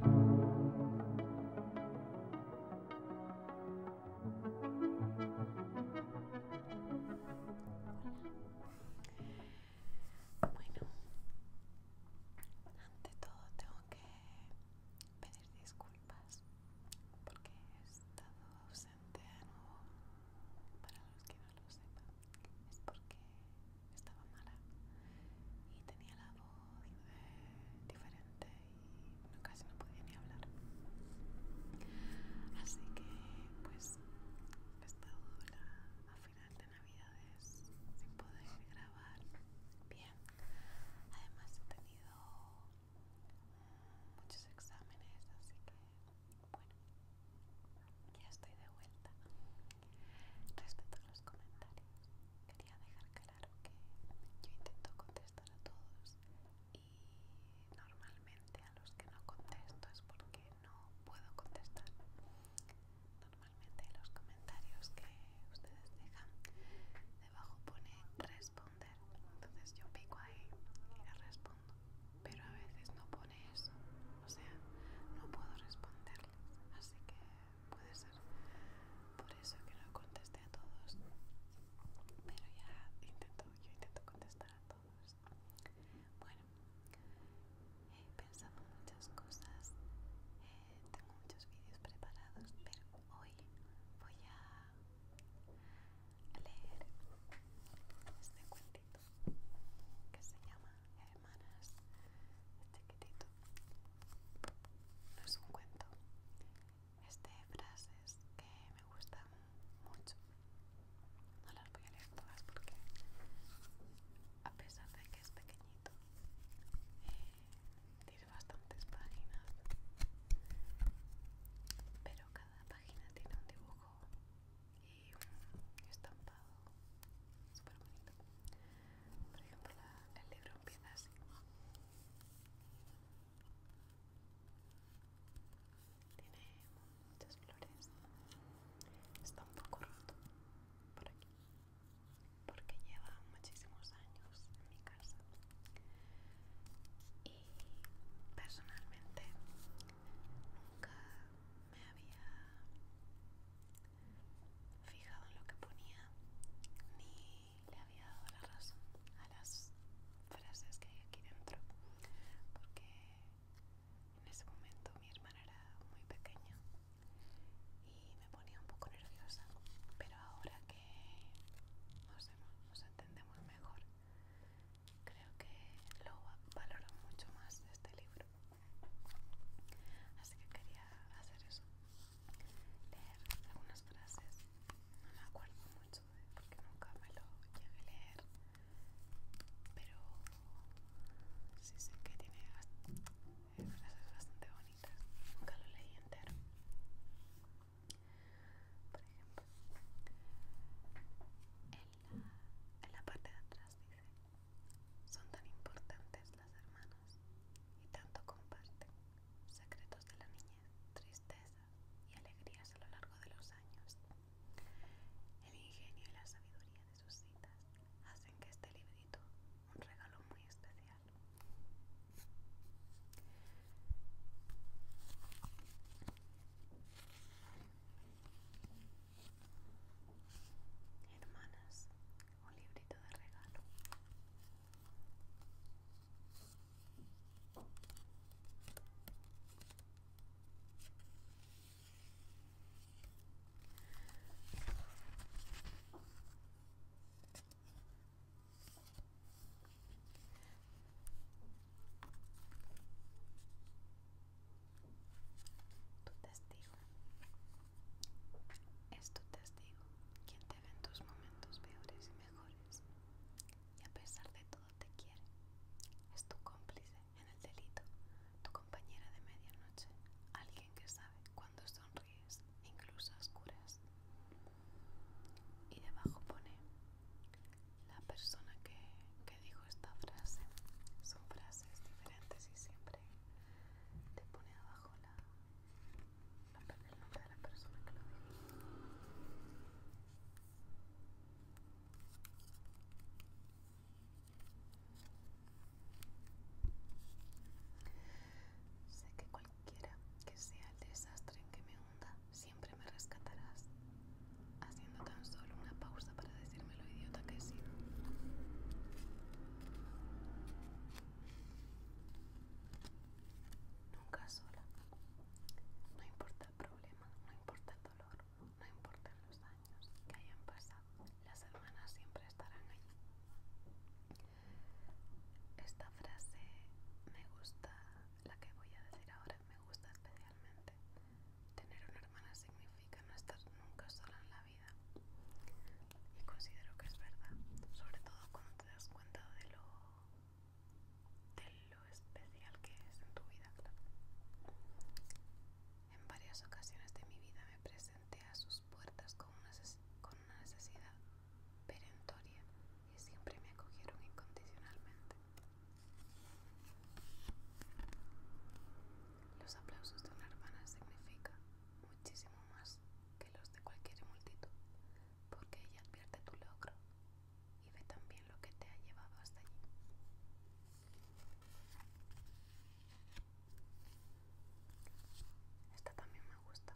Bueno, ante todo tengo que pedir disculpas porque he estado de nuevo para los que no lo sepan es porque estaba mala y tenía la voz eh, diferente y casi no podía ni hablar así que pues he estado a final de navidades sin poder grabar bien además he tenido muchos exámenes, así que bueno, ya estoy de vuelta. Respecto a los comentarios, quería dejar claro que yo intento contestar a todos y normalmente a los que no contesto es porque no puedo contestar. Normalmente los comentarios que ustedes dejan abajo pone responder, entonces yo pico ahí y le respondo, pero a veces no pone eso, o sea, no puedo responderle así que puede ser por eso que no contesté a todos, pero ya intento, yo intento contestar a todos. Bueno, he pensado muchas cosas, eh, tengo muchos vídeos preparados, pero hoy voy a leer este cuentito que se llama Hermanas Chiquitito. No es un cuento, este de frases que me gustan mucho. No las voy a leer todas porque, a pesar de que es pequeñito, eh, bastantes páginas pero cada página tiene un dibujo y un estampado super bonito por ejemplo el libro empieza así tiene muchas flores está un poco roto por aquí porque lleva muchísimos años en mi casa y personalmente nunca me había fijado en lo que ponía ni le había dado la razón a las frases que hay aquí dentro porque en ese momento mi hermana era muy pequeña y me ponía un poco nerviosa pero ahora que nos, nos entendemos mejor. Creo que lo valoro mucho más este libro. Así que quería hacer eso. Leer algunas frases. No me acuerdo mucho de porque nunca me lo llegué a leer. Pero sí sé que tiene eh, frases bastante bonitas. Nunca lo leí entero. Por ejemplo, en la, parte de atrás dice, son tan importantes las hermanas y tanto comparten secretos de la niñez, tristeza y alegrías a lo largo de los años. El ingenio y la sabiduría de sus citas hacen que este librito, un regalo muy especial, Hermanas, un librito de regalo. Tu testigo es tu testigo quien te ve en tus momentos peores y mejores y a pesar de todo te quiere. Es tu cómplice en el delito, tu compañera de medianoche, alguien que sabe cuando sonríes, incluso a oscuras. Y debajo pone la persona que, que dijo esta frase. Son frases diferentes y siempre te pone abajo la, la, el nombre de la persona que lo dijo. Sé que Quiera que sea el desastre en que me hunda, siempre me rescatarás, haciendo tan solo una pausa para decirme lo idiota que he sido. Nunca sola. No importa el problema, no importa el dolor, no importan los años que hayan pasado, las hermanas siempre estarán allí. Esta frase me gusta, la que voy a decir ahora, me gusta especialmente. Tener una hermana significa no estar nunca sola en la vida. Y considero que es verdad, sobre todo cuando te das cuenta de lo, especial que es en tu vida, En varias ocasiones de mi vida me presenté a sus puertas con una, necesidad perentoria y siempre me acogieron incondicionalmente. Los aplausos de una hermana significan muchísimo más que los de cualquier multitud, porque ella advierte tu logro y ve también lo que te ha llevado hasta allí. Esta también me gusta.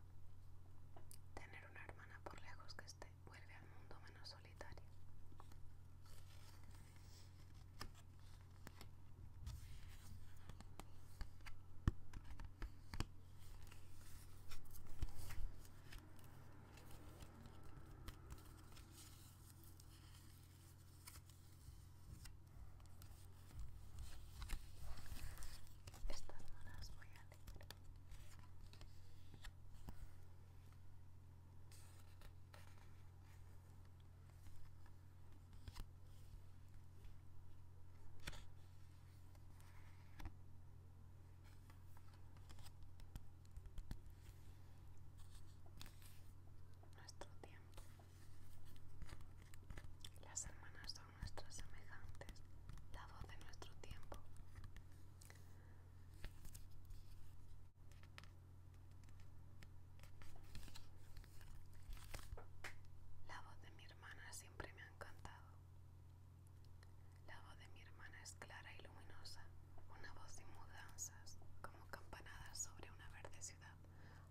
Tener una hermana por lejos que esté vuelve al mundo menos solitario. Estas horas muy voy Nuestro tiempo las hermanas son nuestras semejantes, la voz de nuestro tiempo. La voz de mi hermana siempre me ha encantado. La voz de mi hermana es clara y luminosa, una voz sin mudanzas, como campanadas sobre una verde ciudad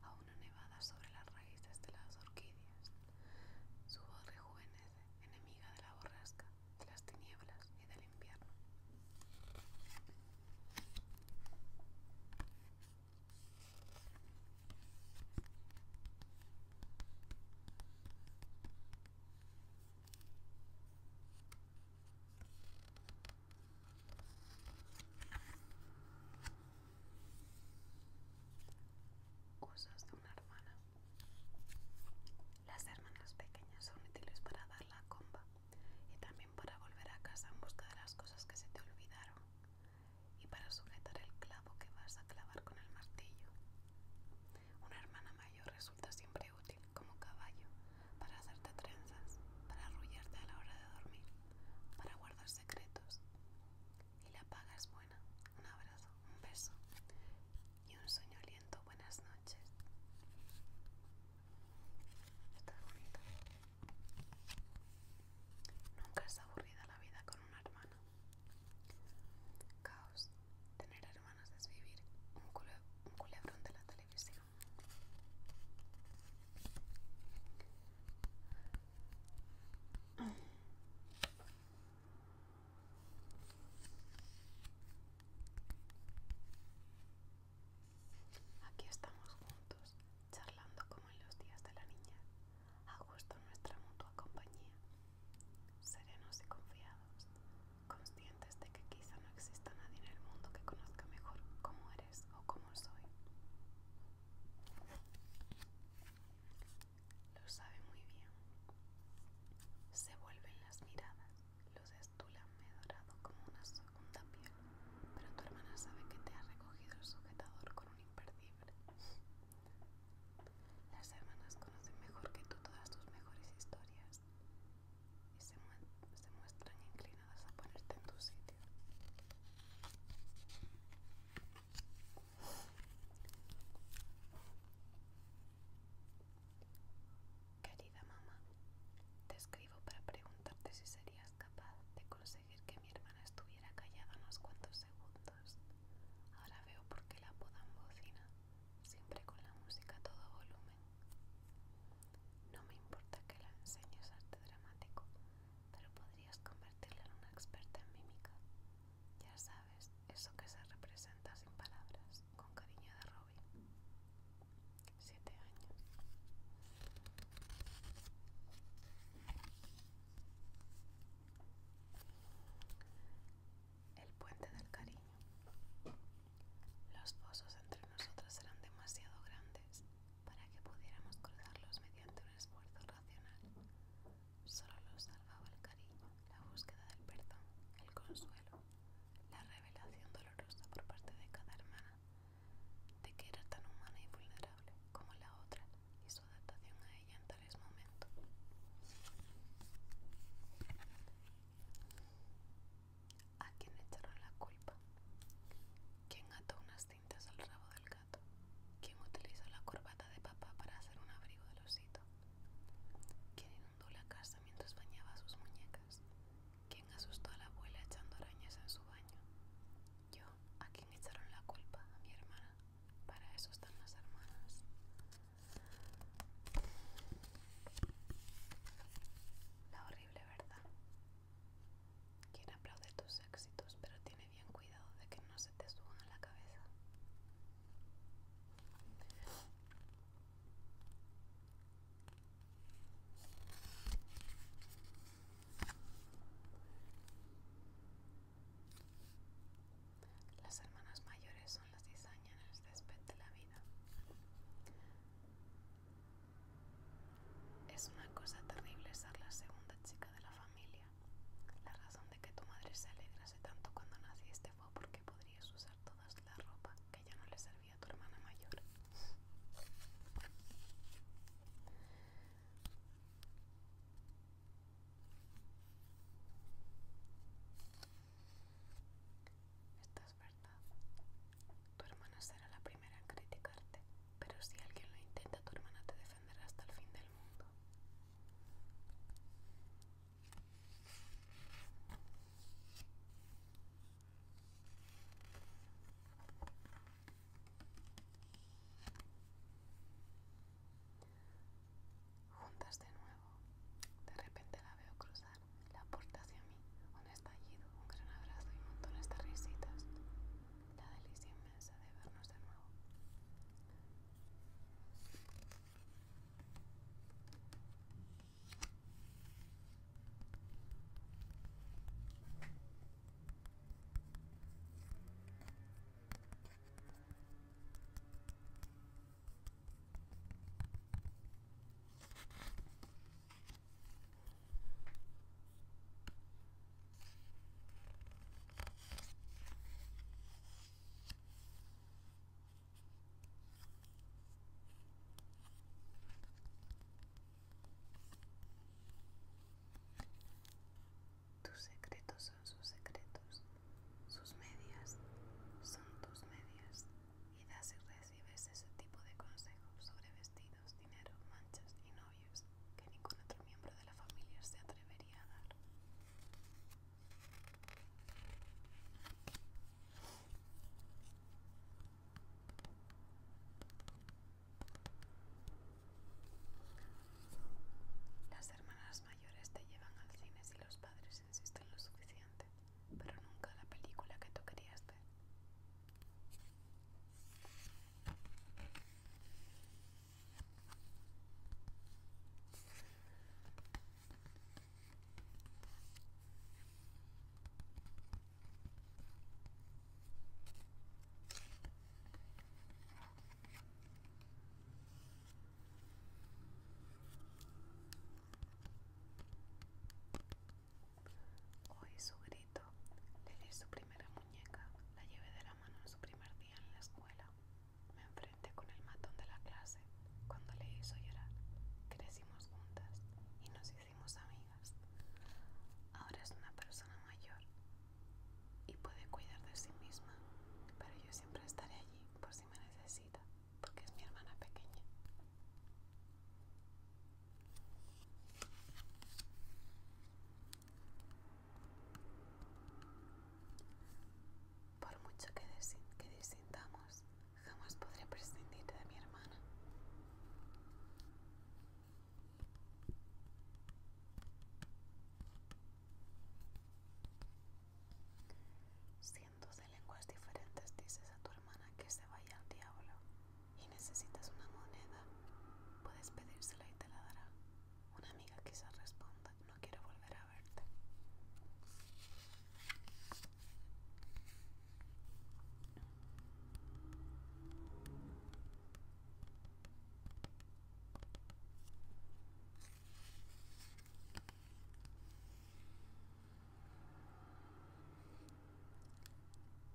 a una nevada sobre las raíces de las orquídeas. Su voz rejuvenece, enemiga de la borrasca, de las tinieblas y del invierno. Usos de una hermana. Las hermanas pequeñas son útiles para dar la comba y también para volver a casa en busca de las cosas que se te olvidaron y para sujetar el clavo que vas a clavar con el martillo. Una hermana mayor resulta siempre útil como caballo para hacerte trenzas, para arrullarte a la hora de dormir para guardar secretos. Y la paga es buena. Un abrazo, un beso y un sueño lento. buenas noches. Estás bonita Nunca es aburrida la vida con una hermana. Caos. Tener hermanas es vivir un culebrón de la televisión. Aquí estamos juntos, charlando como en los días de la niña, a gusto nuestra mutua compañía, serenos y confiados, conscientes de que quizá no exista nadie en el mundo que conozca mejor cómo eres o cómo soy. Lo sabe muy bien. Se vuelven las miradas, los estulan me dorado como una segunda piel, pero tu hermana sabe que te ha recogido el sujetador con un imperdible. Las hermanas conocen mejor que tú todas tus mejores historias y se, se muestran inclinadas a ponerte en tu sitio. Querida mamá, te escribo para preguntarte si serías capaz de conseguir que mi hermana estuviera callada unos cuantos segundos. Ahora veo por qué la apodan bocina, siempre con la música a todo volumen. No me importa que la enseñes arte dramático, pero podrías convertirla en una experta en mímica. Ya sabes, eso que se representa sin palabras, con cariño de Robin. Siete años. El puente del cariño. Los pozos entre nosotros eran demasiado grandes para que pudiéramos cruzarlos mediante un esfuerzo racional. Solo los salvaba el cariño, la búsqueda del perdón, el consuelo, la revelación dolorosa por parte de cada hermana de que era tan humana y vulnerable como la otra y su adaptación a ella en tales momentos. ¿A quién echaron la culpa? ¿Quién ató unas cintas al rabo del gato? ¿Quién utilizó la corbata de papá para hacer un abrigo de osito? ¿Quién inundó la casa mientras bañaba a sus muñecas? ¿Quién asustó a la abuela echando arañas en su baño? Yo, ¿a quién echaron la culpa? A mi hermana. Para eso están las hermanas. La horrible verdad. Quiere aplaudir tus éxitos, pero tiene bien cuidado de que no se te suban a la cabeza. Las hermanas mayores son las después de la vida. Es una cosa terrible ser la segunda chica de la familia. La razón de que tu madre se alegrase tanto cuando naciste fue porque podrías usar toda la ropa que ya no le servía a tu hermana mayor. Tu hermana será la primera en criticarte, pero si alguien lo intenta, tu hermana te defenderá hasta el fin del mundo. Juntas de nuevo. De repente la veo cruzar la puerta hacia mí, un estallido, un gran abrazo y montones de risitas. La delicia inmensa de vernos de nuevo. Tus secretos son sus secretos, sus medias son tus medias y das y recibes ese tipo de consejos sobre vestidos, dinero, manchas y novios que ningún otro miembro de la familia se atrevería a dar. Las hermanas mayores te llevan al cine si los padres lo suficiente, pero nunca la película que tú querías ver. Oí su grito, le di su primera muñeca, la llevé de la mano en su primer día en la escuela. Me enfrenté con el matón de la clase cuando le hizo llorar. Crecimos juntas y nos hicimos amigas. Ahora es una persona mayor y puede cuidar de sí misma, pero yo siempre estaré allí por si me necesita porque es mi hermana pequeña. Por mucho que, desintamos, jamás podré prescindir de mi hermana de lenguas diferentes dices a tu hermana que se vaya al diablo y necesitas una moneda, puedes pedírsela y te la dará. Una amiga quizás responda, no quiero volver a verte.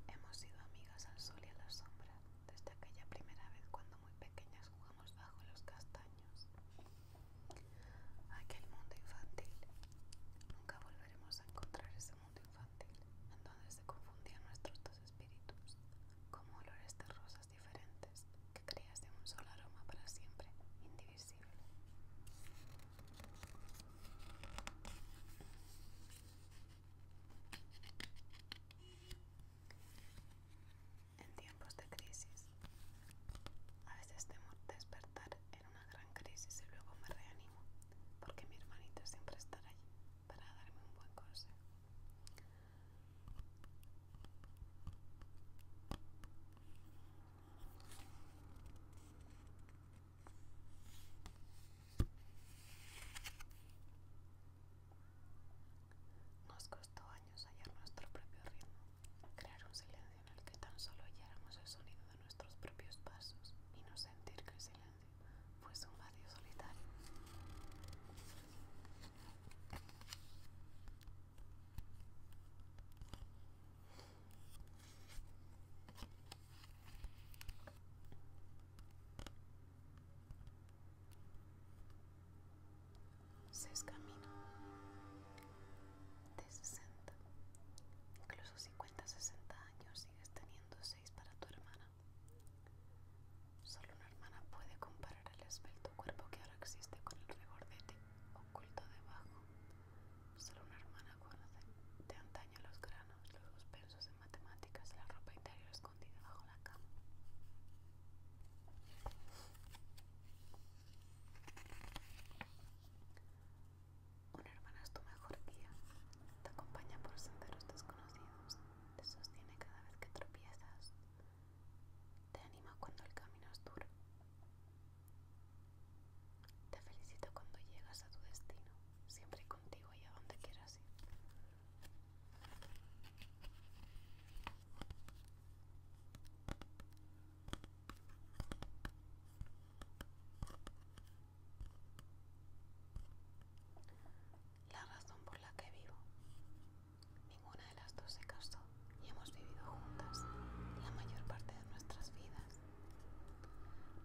Hemos sido amigas al sol y a la sombra, desde aquella primera vez cuando muy pequeñas jugamos bajo los castaños. Aquel mundo infantil. Nunca volveremos a encontrar ese mundo infantil, en donde se confundían nuestros dos espíritus, como olores de rosas diferentes que de un solo aroma para siempre, indivisible. En tiempos de crisis, a veces temo despertar en una gran crisis y luego me reanimo, porque mi hermanito siempre está allí para darme un buen consejo. Nos costó años hallar nuestro propio ritmo, crear un silencio en el que tan solo oyéramos el sonido de nuestros propios pasos y no sentir que el silencio fuese un vacío solitario. Seis caminos camino de 60, incluso 50, 60 años sigues teniendo seis para tu hermana. Solo una hermana puede comparar el esbelto cuerpo que ahora existe con el rigor de ti oculto debajo. Solo una hermana conoce de antaño los granos, los suspensos en matemáticas, la ropa interior escondida bajo la cama. Una hermana es tu mejor guía, te acompaña por senderos desconocidos, te sostiene cada vez que tropiezas, te anima cuando el camino es duro. Te felicito cuando llegas a tu destino, siempre contigo y a donde quieras ir. La razón por la que vivo Ninguna de las dos se casó y hemos vivido juntas la mayor parte de nuestras vidas.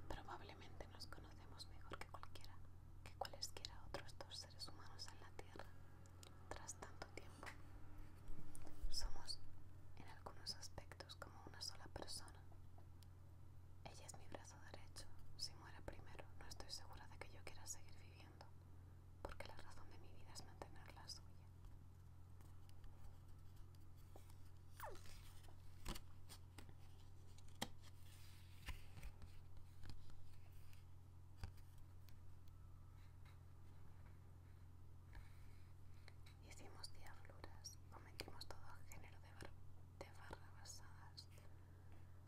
Probablemente nos conocemos mejor que cualquiera, que cualesquiera otros dos seres humanos en la Tierra tras tanto tiempo. Somos en algunos aspectos como una sola persona. Ella es mi brazo derecho. Si muera primero, no estoy segura de que yo quiera seguir viviendo porque la razón de mi vida es mantener la suya. Hicimos diabluras, cometimos todo género de, bar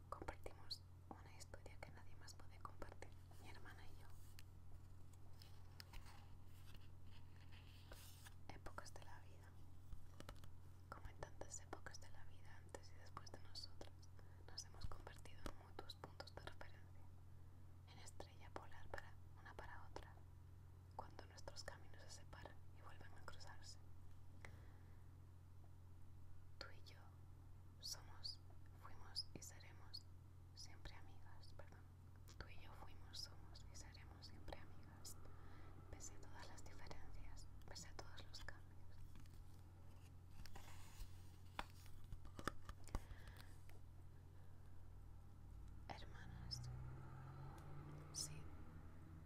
compartimos una historia que nadie más puede compartir mi hermana y yo. Épocas de la vida. Como en tantas épocas de la vida antes y después de nosotras, nos hemos convertido en mutuos puntos de referencia, en estrella polar para una para otra, cuando nuestros caminos se separan y vuelven a cruzarse. Tú y yo somos, fuimos y seremos siempre amigas, perdón. Tú y yo fuimos, somos y seremos siempre amigas, pese a todas las diferencias, pese a todos los cambios. Hermanas, sí,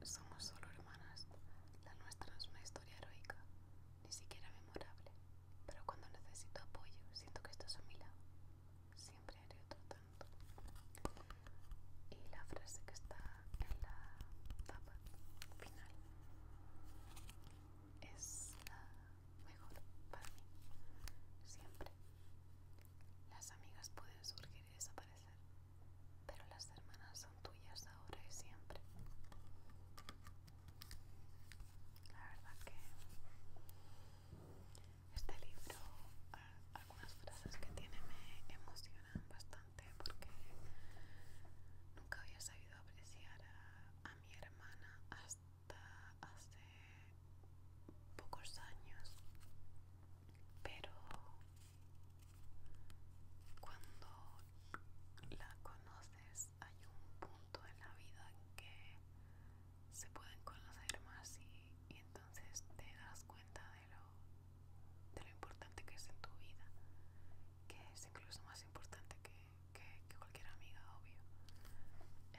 somos solo hermanas. La nuestra es una historia heroica, ni siquiera memorable, pero cuando necesito apoyo siento que estás a mi lado. Siempre haré otro tanto. Y la frase que está en la tapa final es la mejor para mí. Siempre. Las amigas pueden surgir y desaparecer, pero las hermanas son tuyas ahora y siempre. La verdad que este libro, algunas frases que tiene me emocionan bastante porque nunca había sabido apreciar a, mi hermana hasta hace pocos años. Pero cuando la conoces hay un punto en la vida en que se pueden conocer más y, entonces te das cuenta de lo, de lo importante que es en tu vida, que es incluso más importante que, cualquier amiga, obvio.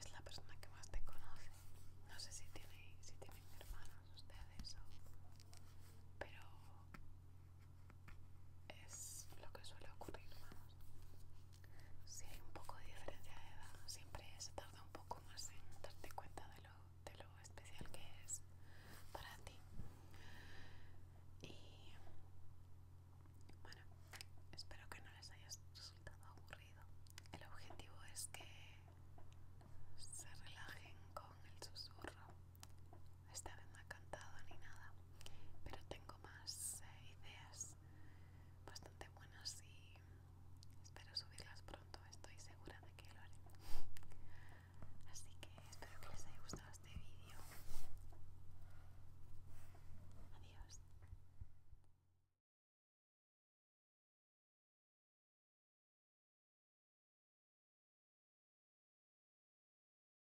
Es la persona que más te conoce. No sé si, si tienen hermanos ustedes, o, pero es lo que suele ocurrir, vamos. Si hay un poco de diferencia de edad, siempre se tarda un poco más en darte cuenta de lo, de lo especial que es para ti. Y bueno, espero que no les haya resultado aburrido. El objetivo es que se relajen con el susurro esta vez no ha cantado ni nada, pero tengo más eh, ideas bastante buenas y espero subirlas pronto, estoy segura de que lo haré. Así que espero que les haya gustado este vídeo. Adiós.